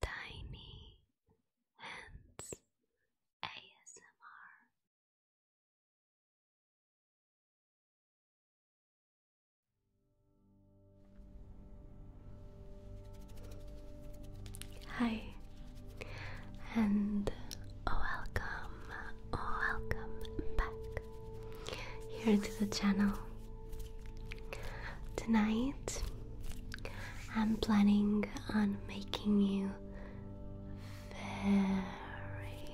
Tiny Hands ASMR. Hi, and welcome, welcome back here to the channel. Tonight, I'm planning on making you very,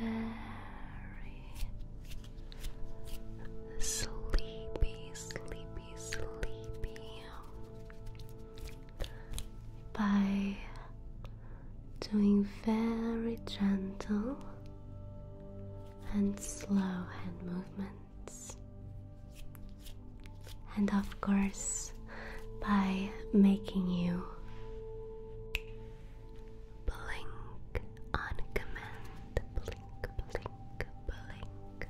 very sleepy, sleepy, sleepy by doing very gentle and slow hand movements. And of course, by making you blink on command. Blink, blink, blink.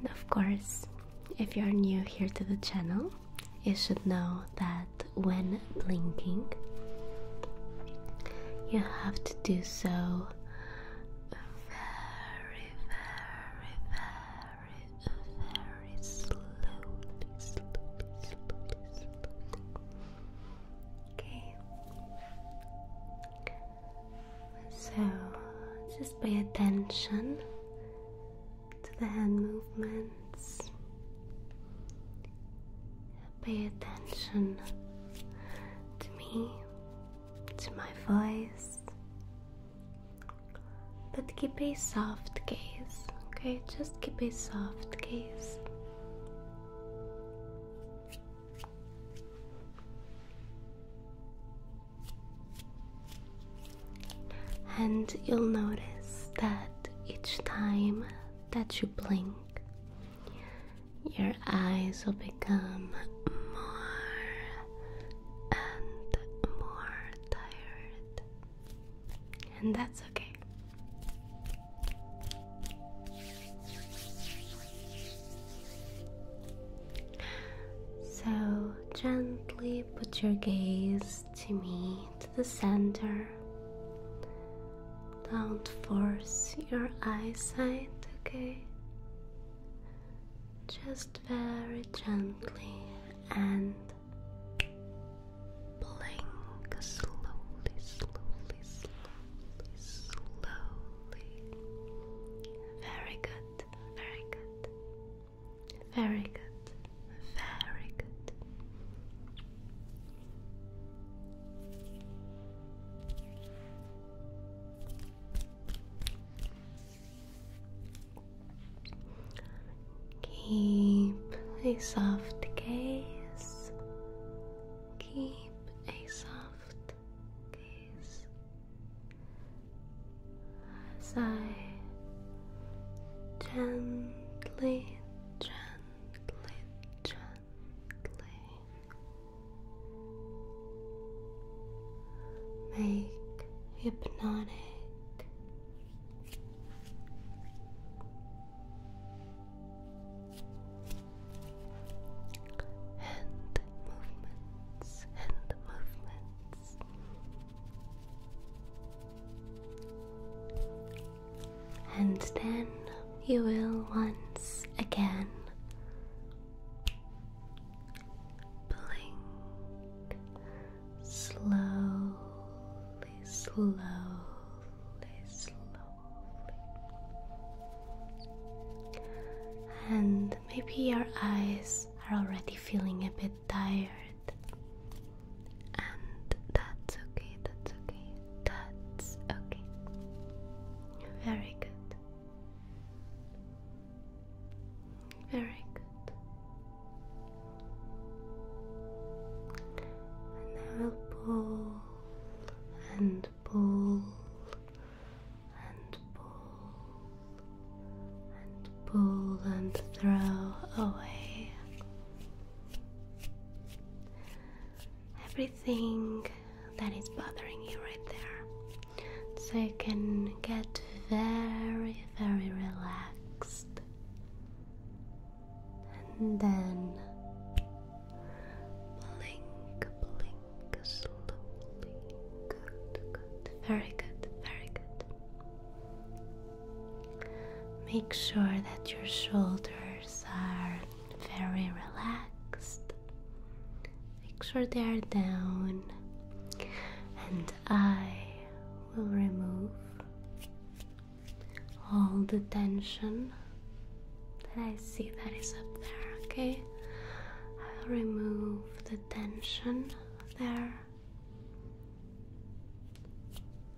And of course, if you're new here to the channel, you should know that when blinking, you have to do so very, very, very, very slowly. Okay. So just pay attention to the hand movement. Pay attention to me, to my voice, but keep a soft gaze, okay? Just keep a soft gaze. And you'll notice that each time that you blink, your eyes will become more and more tired, and that's okay. So gently put your gaze to me to the center. Don't force your eyesight, okay? Just very gently and blink slowly, slowly, slowly, slowly. Very good, very good, very good, very good. Keep a soft gaze. Keep a soft gaze as I gently, gently, gently, make hypnotic. And movements, and movements and then you will once again blink slowly, slowly, slowly. And maybe your eyes are already feeling a bit tired and that's okay, that's okay, that's okay. Very good. Very good. And now pull and pull and pull and pull and throw away everything that is bothering you right there. So you can get very, very relaxed. And then blink, blink slowly. Good, good. Very good, very good. Make sure that your shoulders are very relaxed. Make sure they are down, and I will remove all the tension that I see that is up there, okay? I'll remove the tension there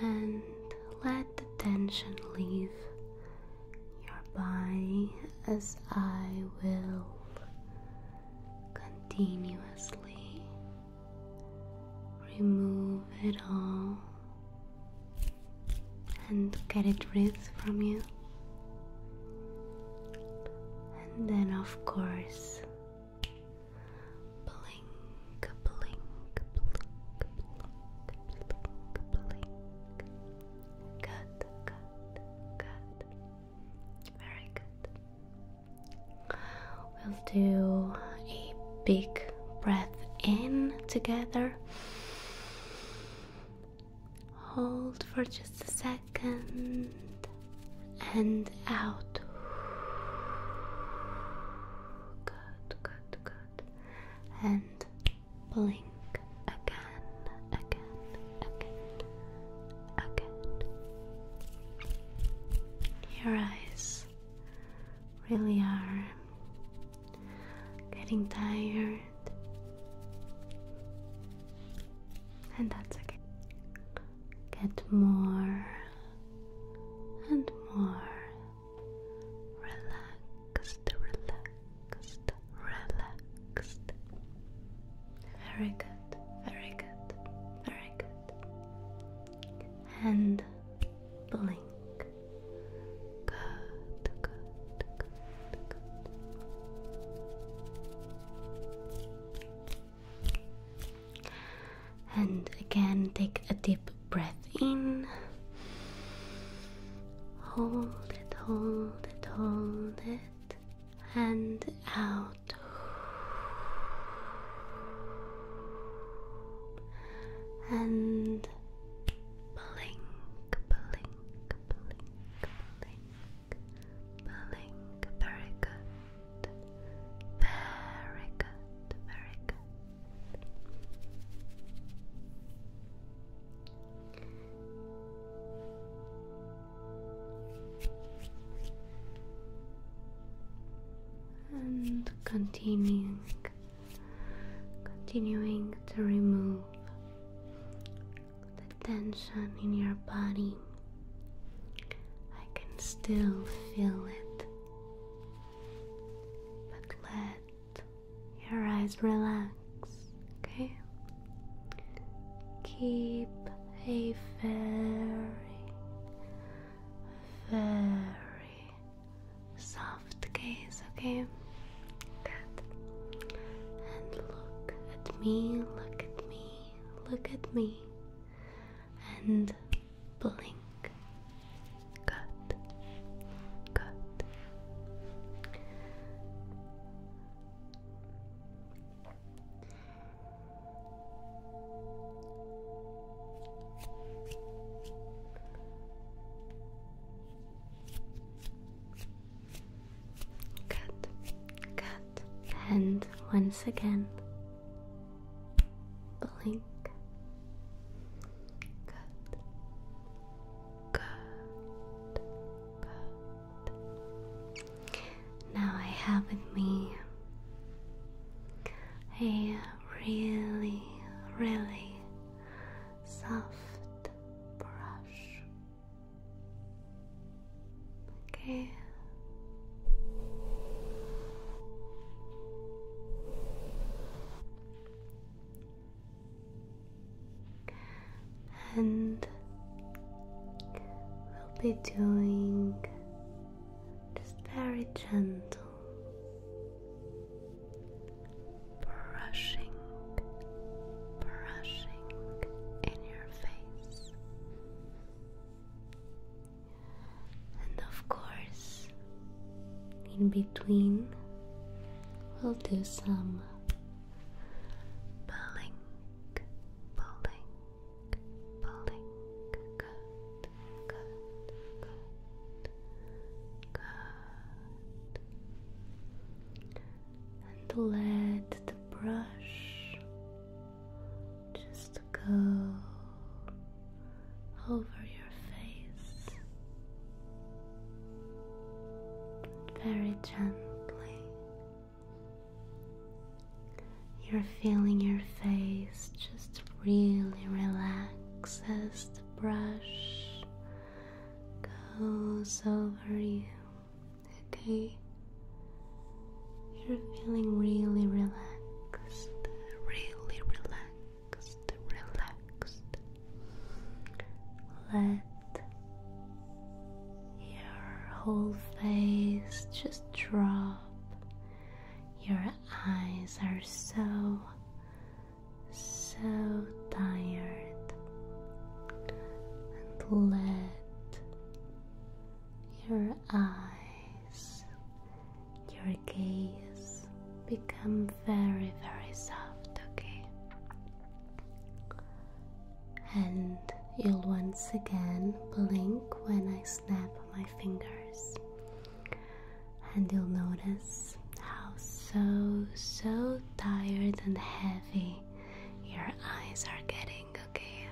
and let the tension leave your body as I will continuously remove it all and get it rid from you. And then, of course, blink, blink, blink, blink, blink, blink. Good, good, good. Very good. We'll do a big breath in together. Hold for just a second and out. Good, good, good. And blink again, again, again, again. Your eyes really are getting tired. And that's okay get more and more relaxed, relaxed, relaxed. Very good, very good, very good. And blink. Good, good, good, and again, take a deep breath in. Hold it, hold it, hold it. And out. And blink, blink, blink, blink, blink. Very good. And continuing, continuing to remove the tension in your body. I can still feel it. But let your eyes relax, okay? Keep a very, very soft gaze, okay? And look at me, look at me, look at me and blink. Good. Good. Good, good, and once again, Blink. Good. Now I have with me a really, really soft brush. Okay, and we'll be doing just very gentle brushing, brushing in your face. And of course, in between, we'll do some pulling, pulling, pulling. Good, good, good, good. And let the brush just go over your face very gently. You're feeling your face just really relax as the brush goes over you. Okay, you're feeling really relaxed, really relaxed, relaxed. Let your whole face just drop. Your eyes are so, so tired. And let your eyes, your gaze become very, very soft, okay? And you'll once again blink when I snap my fingers. And you'll notice how so, so tired and heavy your eyes are getting, okay?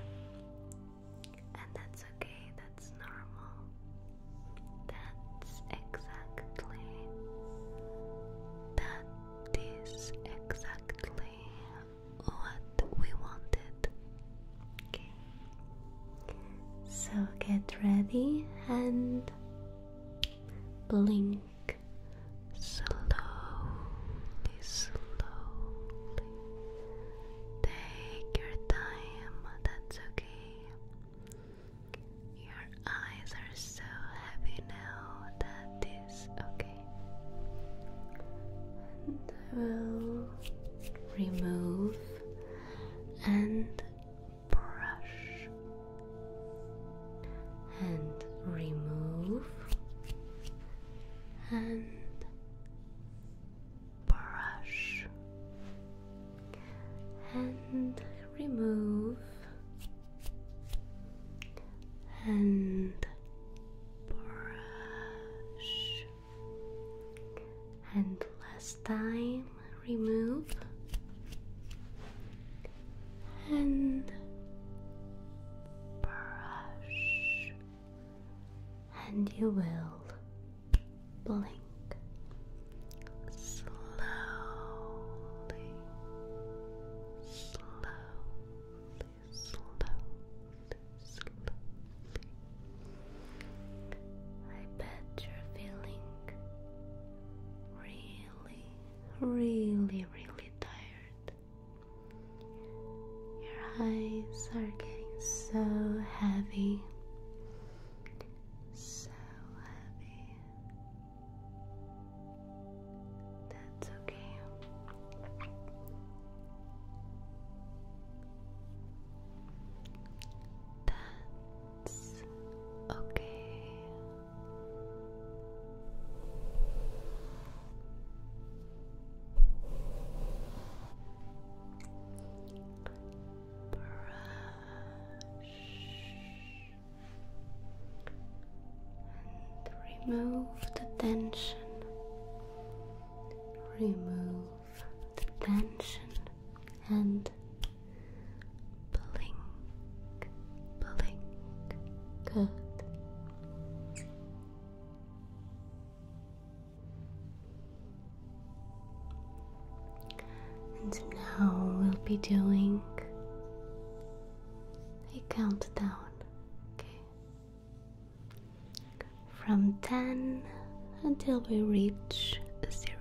And that's okay, that's normal. That's exactly. That is exactly what we wanted. So get ready and blink slowly, slowly, Take your time, that's okay. Your eyes are so heavy now, that is okay. And will remove and brush and remove and brush and remove and brush and last time remove and brush and you will blink slowly, slowly, slowly, I bet you're feeling really, really, really tired. Your eyes are getting so heavy so heavy. That's okay. That's okay and remove the tension. Remove the tension and blink, blink. Good. And now we'll be doing a countdown, okay? From 10 until we reach zero.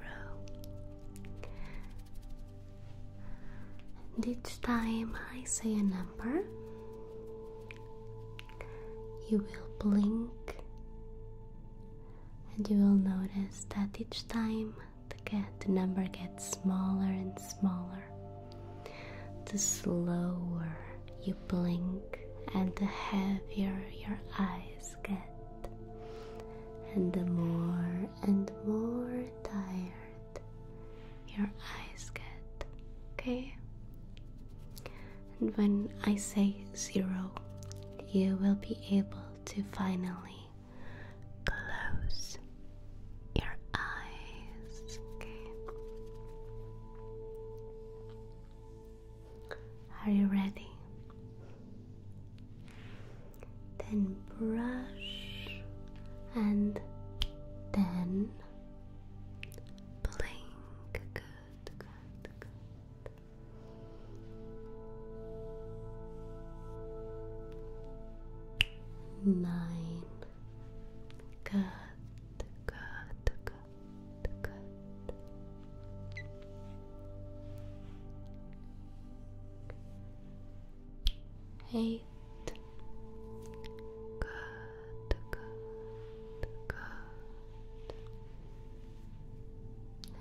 And each time I say a number, you will blink and you will notice that each time the, get, the number gets smaller and smaller. The slower you blink, and the heavier your eyes get, and the more and more tired your eyes get. Okay, and when I say zero, you will be able to finally close your eyes. Okay. Are you ready? Then brush and then blink. Good, good, Nine. Good, good, good, good. Eight. Good, good, good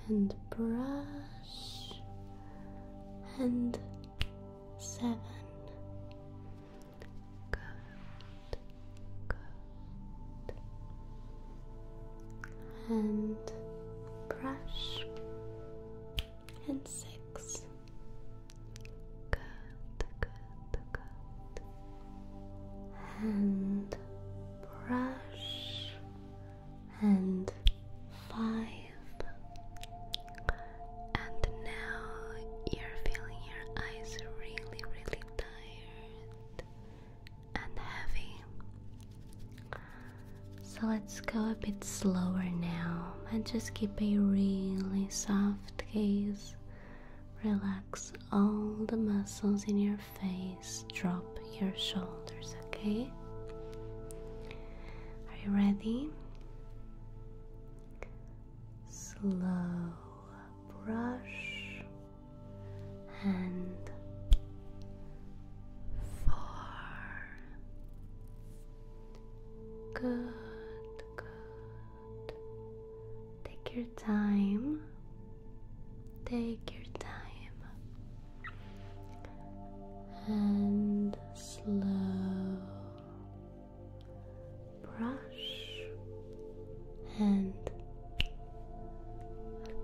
and brush and seven. Good, good. And brush and six. Good, good, good. And brush and five and now you're feeling your eyes really really tired and heavy so let's go a bit slower now and just keep a really soft gaze relax all the muscles in your face face, drop your shoulders, okay? Are you ready? Slow brush and four. Good, good. Take your time. Take your time and slow brush and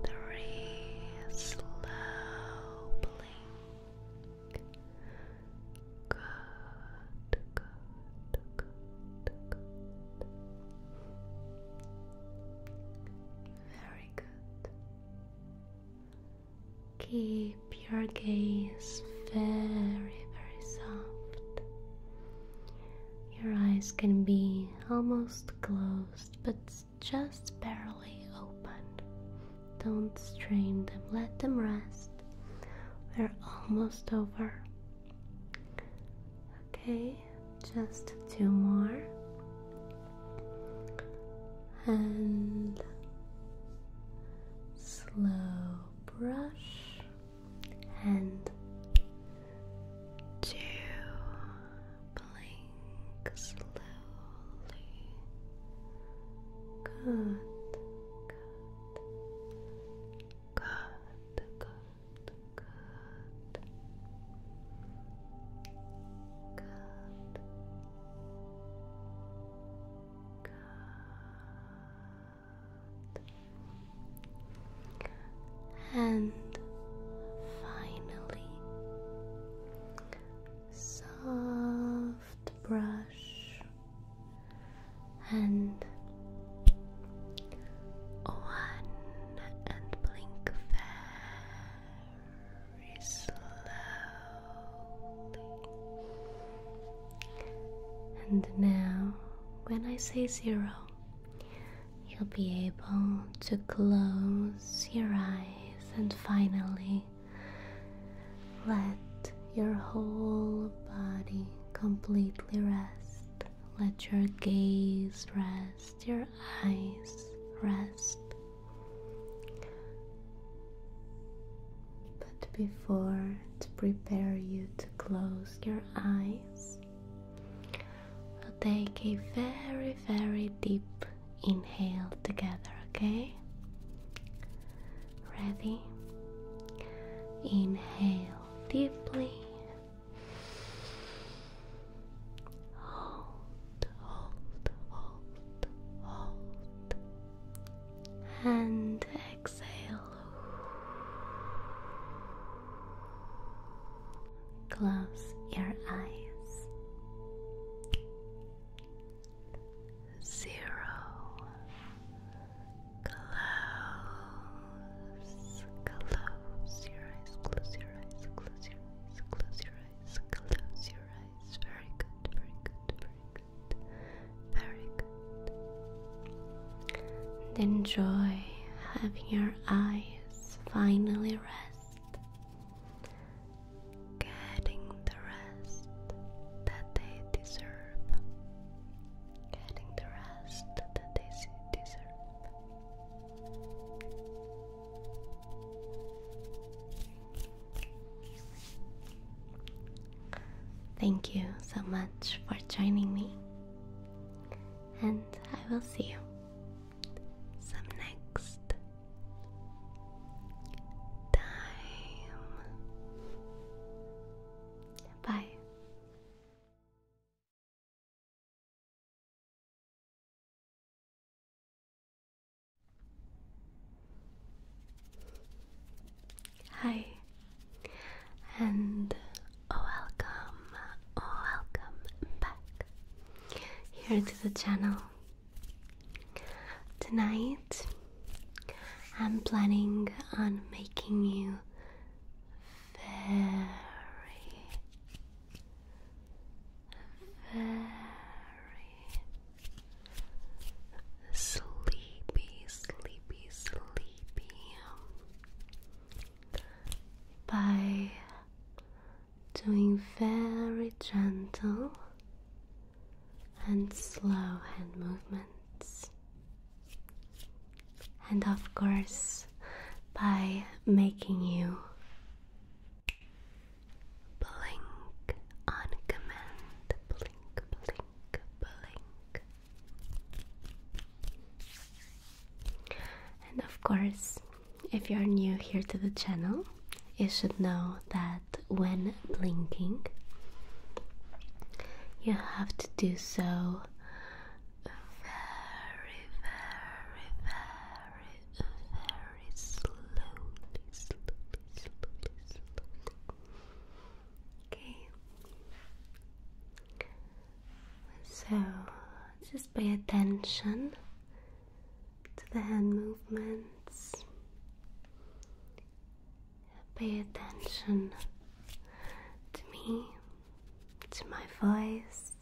three slow blink. Good, good, good, good. Very good. Keep your gaze very, very soft. Your eyes can be almost closed, but just barely opened. Don't strain them, let them rest. We're almost over. Okay, just two more and slow brush and two blink slowly good good good good and finally, soft brush and one and blink very slowly. And now, when I say zero, you'll be able to close your eyes and finally let your whole body completely rest. Let your gaze rest your eyes, rest. But before to prepare you to close your eyes, we'll take a very, very deep inhale together, okay? Ready? Inhale deeply Hold, hold, hold, hold. And exhale. Close your eyes. Zero. Close. Close your eyes. Close your eyes. Close your close your eyes, close your eyes. Very good, very good, very good, very good. And enjoy having your eyes finally rest, getting the rest that they deserve, getting the rest that they deserve. Thank you so much for joining me, and I will see you some next time. Bye. Hi, and oh, welcome, oh, welcome back here to the channel. Tonight, I'm planning on making you very very sleepy, sleepy, sleepy by doing very gentle and slow hand movements. And of course, by making you Blink on command. Blink, blink, blink. And of course, if you're new here to the channel, you should know that when blinking, you have to do so very, very, very, very slowly, slowly, slowly, slowly. Okay. So just pay attention to the hand movements. Pay attention to me, to my voice,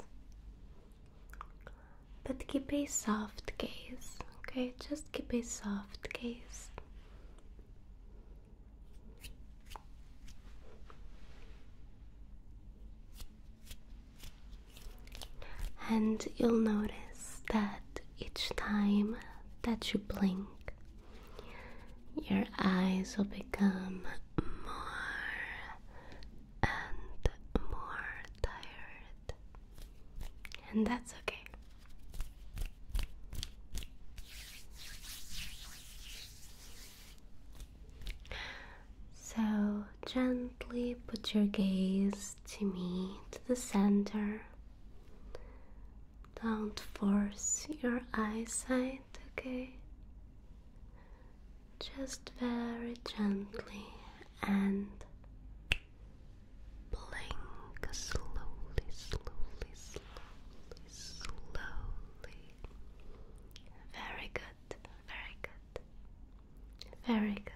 but keep a soft gaze, okay? Just keep a soft gaze. And you'll notice that each time that you blink, your eyes will become more and more tired, and that's okay. So gently put your gaze to me to the center. Don't force your eyesight, okay? just very gently and blink slowly, slowly, slowly, slowly. Very good, very good, very good, very good.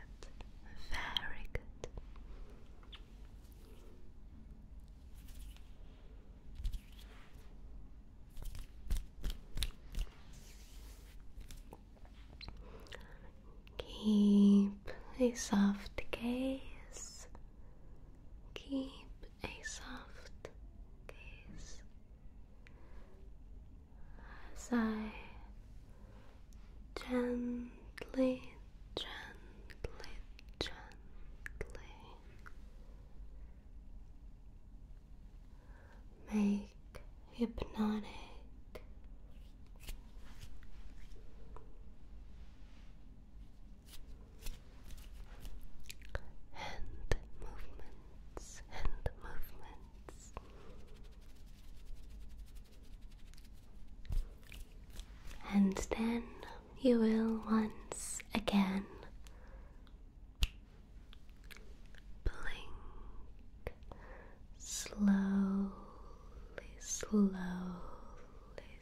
Keep a soft gaze. Keep a soft gaze as I gently, gently, gently make hypnotic. Hand movements, hand movements. And then you will once again blink slowly, slowly,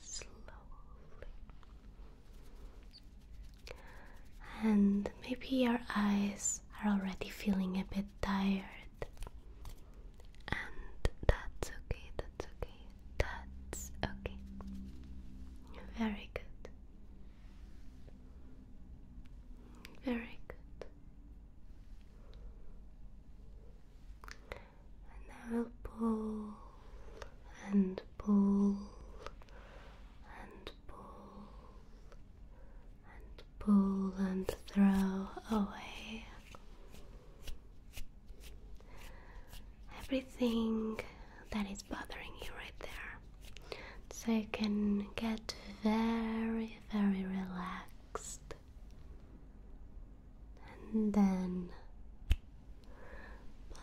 slowly. And maybe your eyes are already feeling a bit tired, and that's okay, that's okay, that's okay. Very good. Very good. And now pull and pull and pull and pull and throw away everything that is bothering you right there. So you can get very very relaxed. And then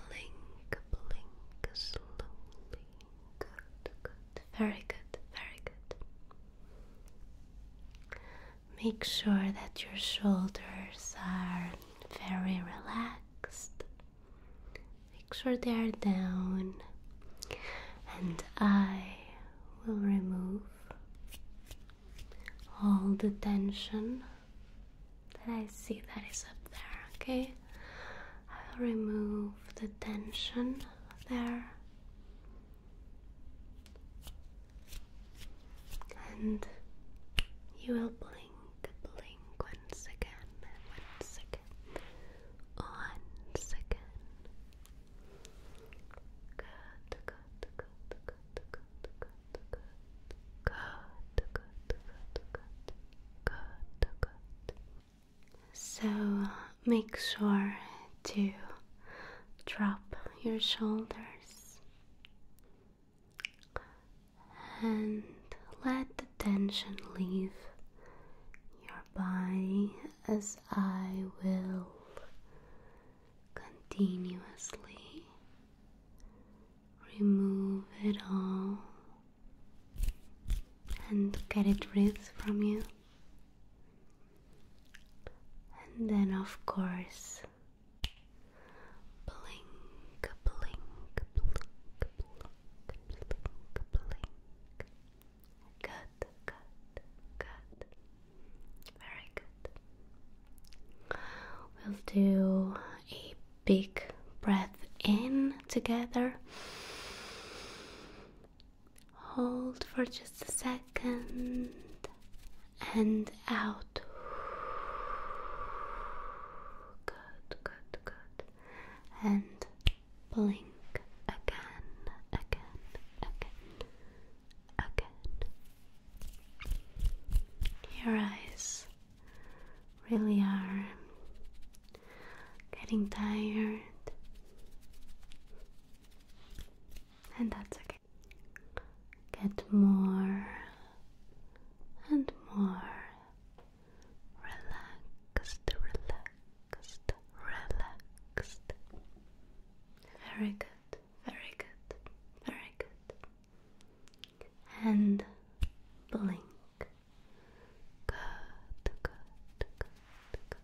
blink, blink slowly. Good, very good, very good. Make sure that your shoulders are very relaxed. Make sure they are down and I will remove all the tension that I see that is up there, okay? I will remove the tension there. And you will blink, blink once again, once again, once again, so make sure to drop your shoulders and let the tension leave your body as I will continuously remove it all and get it rid from you. And then, of course, blink, blink, blink, blink, blink, blink, Good, good, good. Very good. We'll do a big breath in together. Hold for just a second and out. Good, good, good. And blink again, again, again, again. Your eyes really are getting tired. And that's okay. Get more and more relaxed, relaxed, relaxed, Very good, very good, very good. And blink. good, good, good.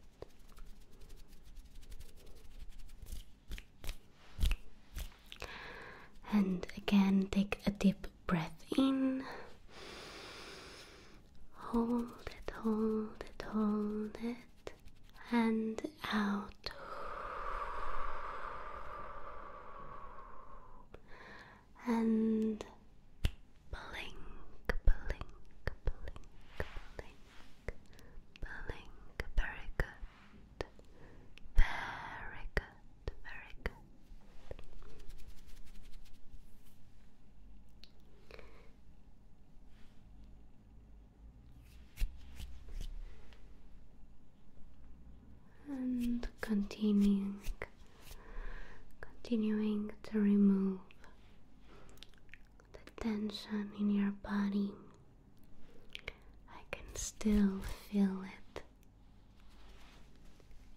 And again, take a deep breath in Hold it, hold it, hold it, and out. And blink, blink, blink, blink, blink. Very good. Very good, very good and continuing continuing to remove the tension in your body I can still feel it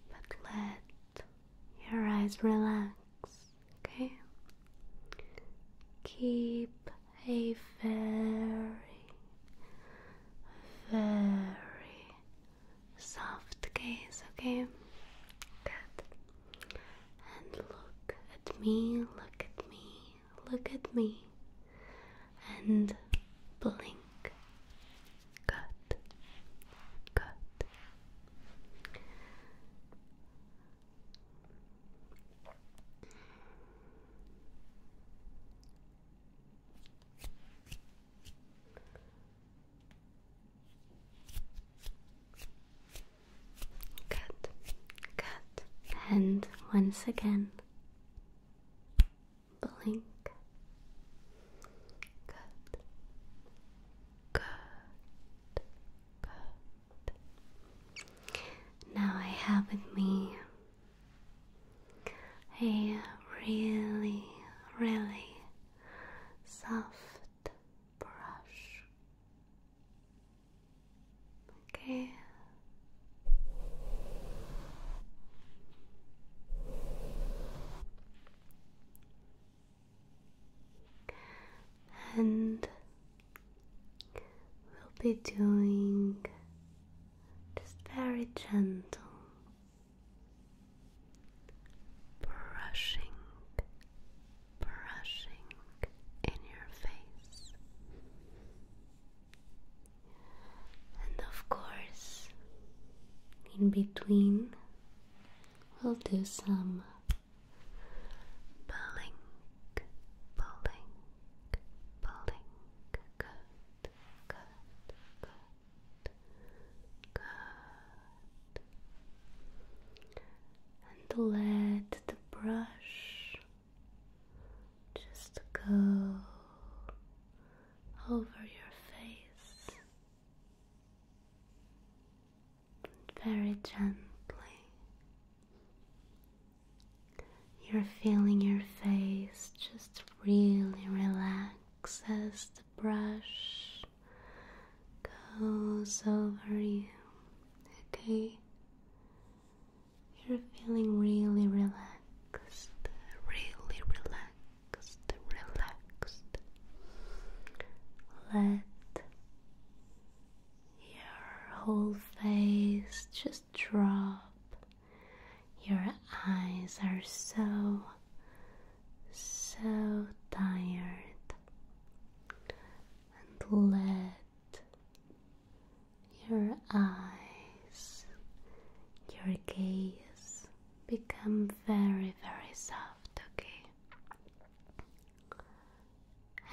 but let your eyes relax Okay. Keep a very, very soft gaze, okay? Good. And look at me, look at me, look at me. And blink. Good. Good. Good, good, and once again, blink. Good, good, now I have with me a really, really soft brush. Okay and we'll be doing just very gentle brushing, brushing in your face. And of course, in between, we'll do some Blink, blink, blink. Good, good, good, good. And let the brush just go over your face very gently. You're feeling your face just really relax as the brush goes over you. Okay? You're feeling really relaxed, really relaxed, relaxed. Let your whole face just drop. Your eyes are so, so tired. And let your eyes, your gaze become very, very soft, okay?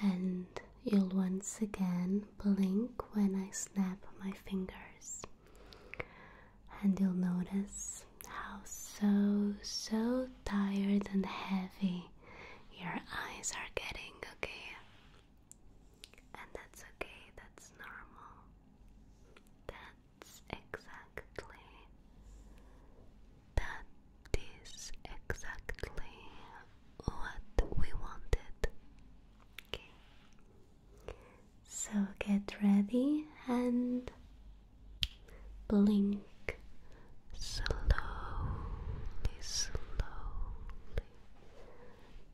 and you'll once again blink when I snap my fingers. And you'll notice how so, so tired and heavy your eyes are getting, okay? And that's okay, that's normal. That's exactly that is exactly what we wanted. Okay. So get ready and blink slowly, slowly.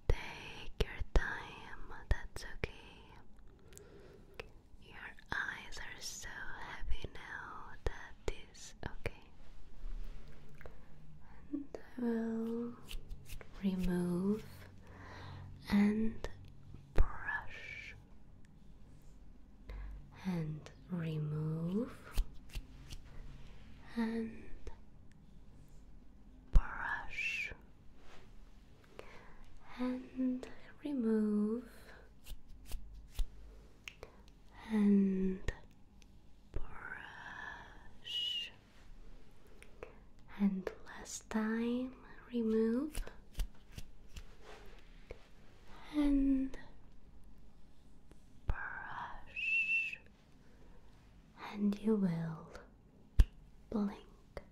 Take your time, that's okay. Your eyes are so heavy now, that is okay and I will remove and brush and remove and brush and remove and brush. And last time, remove and brush, and you will blink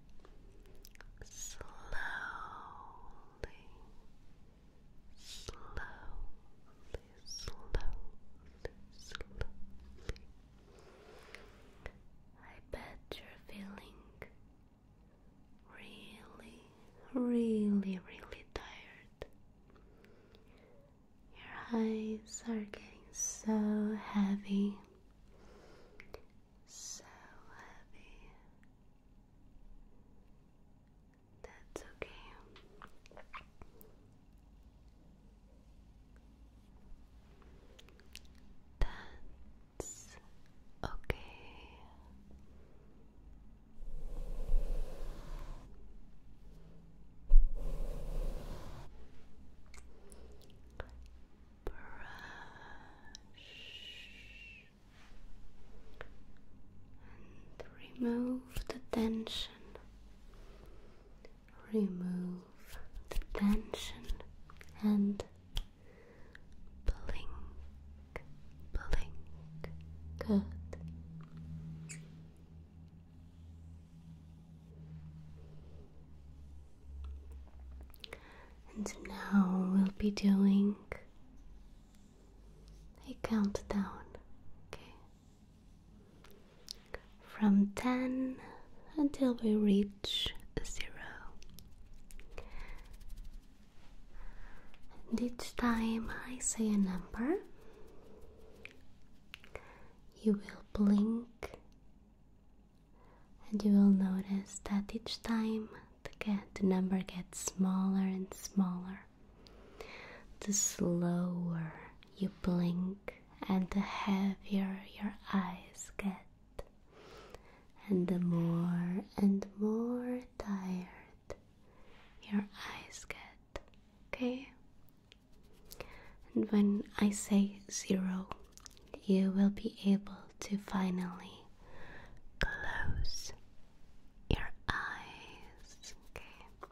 slowly slowly, slowly, slowly. I bet you're feeling really, really, really tired. Your eyes are getting so heavy. So heavy. That's okay. That's okay. Brush and remove the tension remove the tension, and blink, blink. Good. And now we'll be doing a countdown. Okay from 10 until we reach 0. And each time I say a number, you will blink and you will notice that each time the, the number gets smaller and smaller the slower you blink and the heavier your eyes get, and the more and more tired your eyes get. Okay? And when I say zero, you will be able to finally close your eyes. Okay?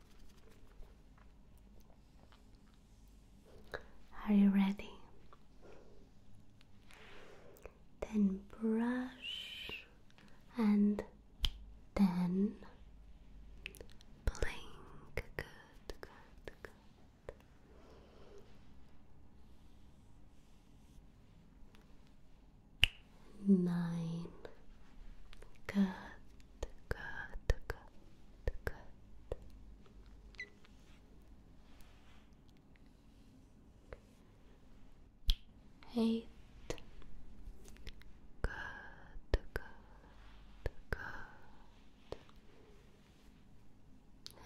Are you ready? Then brush and then blink. Good, nine. Good, good, good, good. Eight. Good, good, good.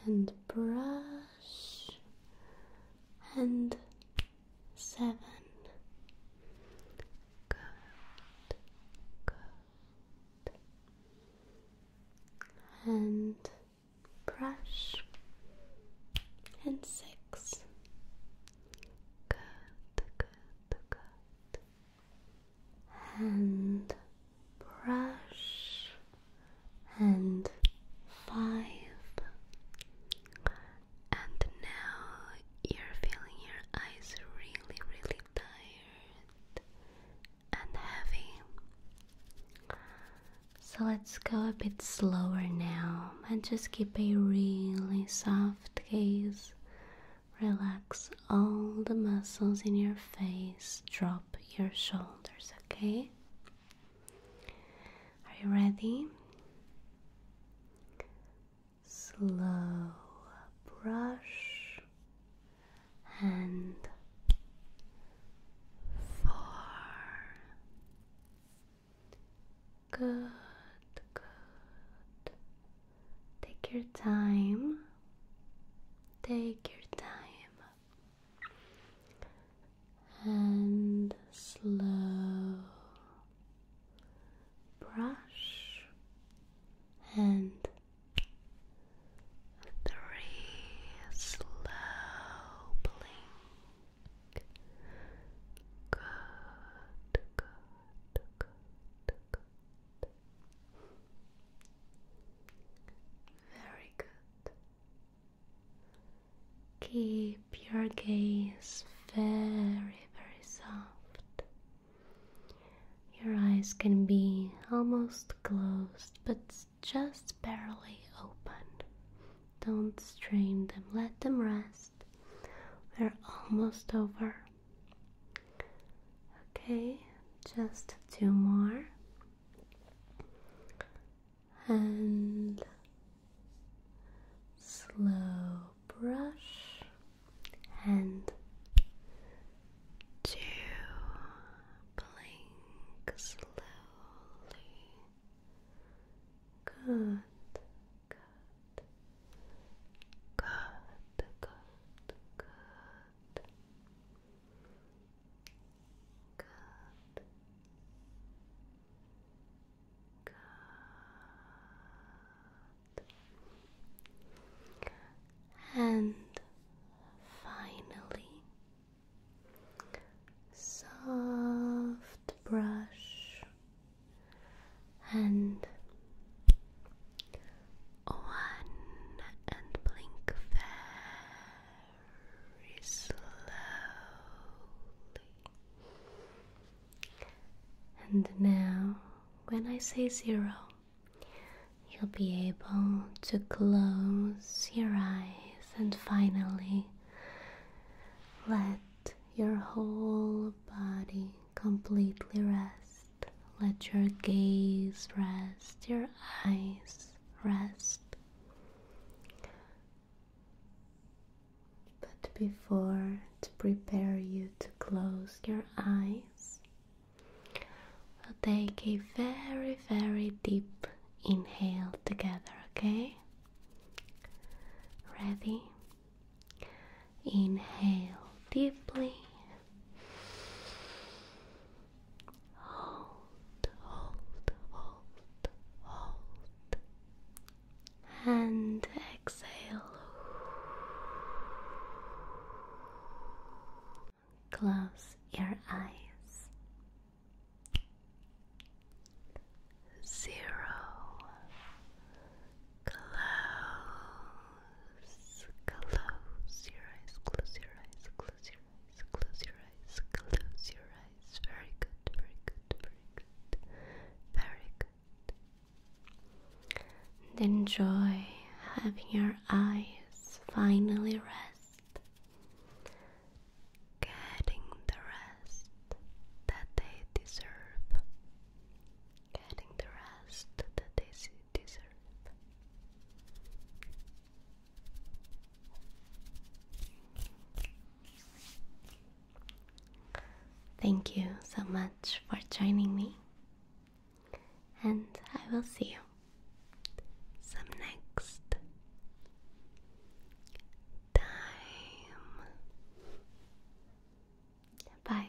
And brush and seven. Good, good. And brush. And six. Good, good, good. And brush. And five. And now you're feeling your eyes really, really tired and heavy. So let's go a bit slower now and just keep a really soft gaze. Relax all the muscles in your face, drop your shoulders, okay? Are you ready? slow brush and four. Good, good. Take your time. Take your time. And slow brush and three slow Good, good, good, good. Very good. Keep your gaze very very, soft. Your eyes can be almost closed, but just barely open. Don't strain them, let them rest. We're almost over. Okay, just two more. And slow brush and two blink slowly. Good, good, good, good, good. Good. Good and finally soft brush and one and blink very slowly and now, when I say zero, you'll be able to close your eyes and finally let your whole body completely rest. Let your gaze rest, your eyes rest. But before to prepare you to close your eyes, we'll take a very, very deep inhale together, okay? Ready? Inhale deeply. Hold, hold, hold, hold and exhale. Close your eyes. Zero. Close. Close your eyes. Close your eyes. Close your eyes. Close your eyes. Close your eyes. Very good. Very good. Very good. Very good. Enjoy having your eyes finally rest, getting the rest that they deserve, getting the rest that they deserve. Thank you so much for joining me, and I will see you some next time. Bye.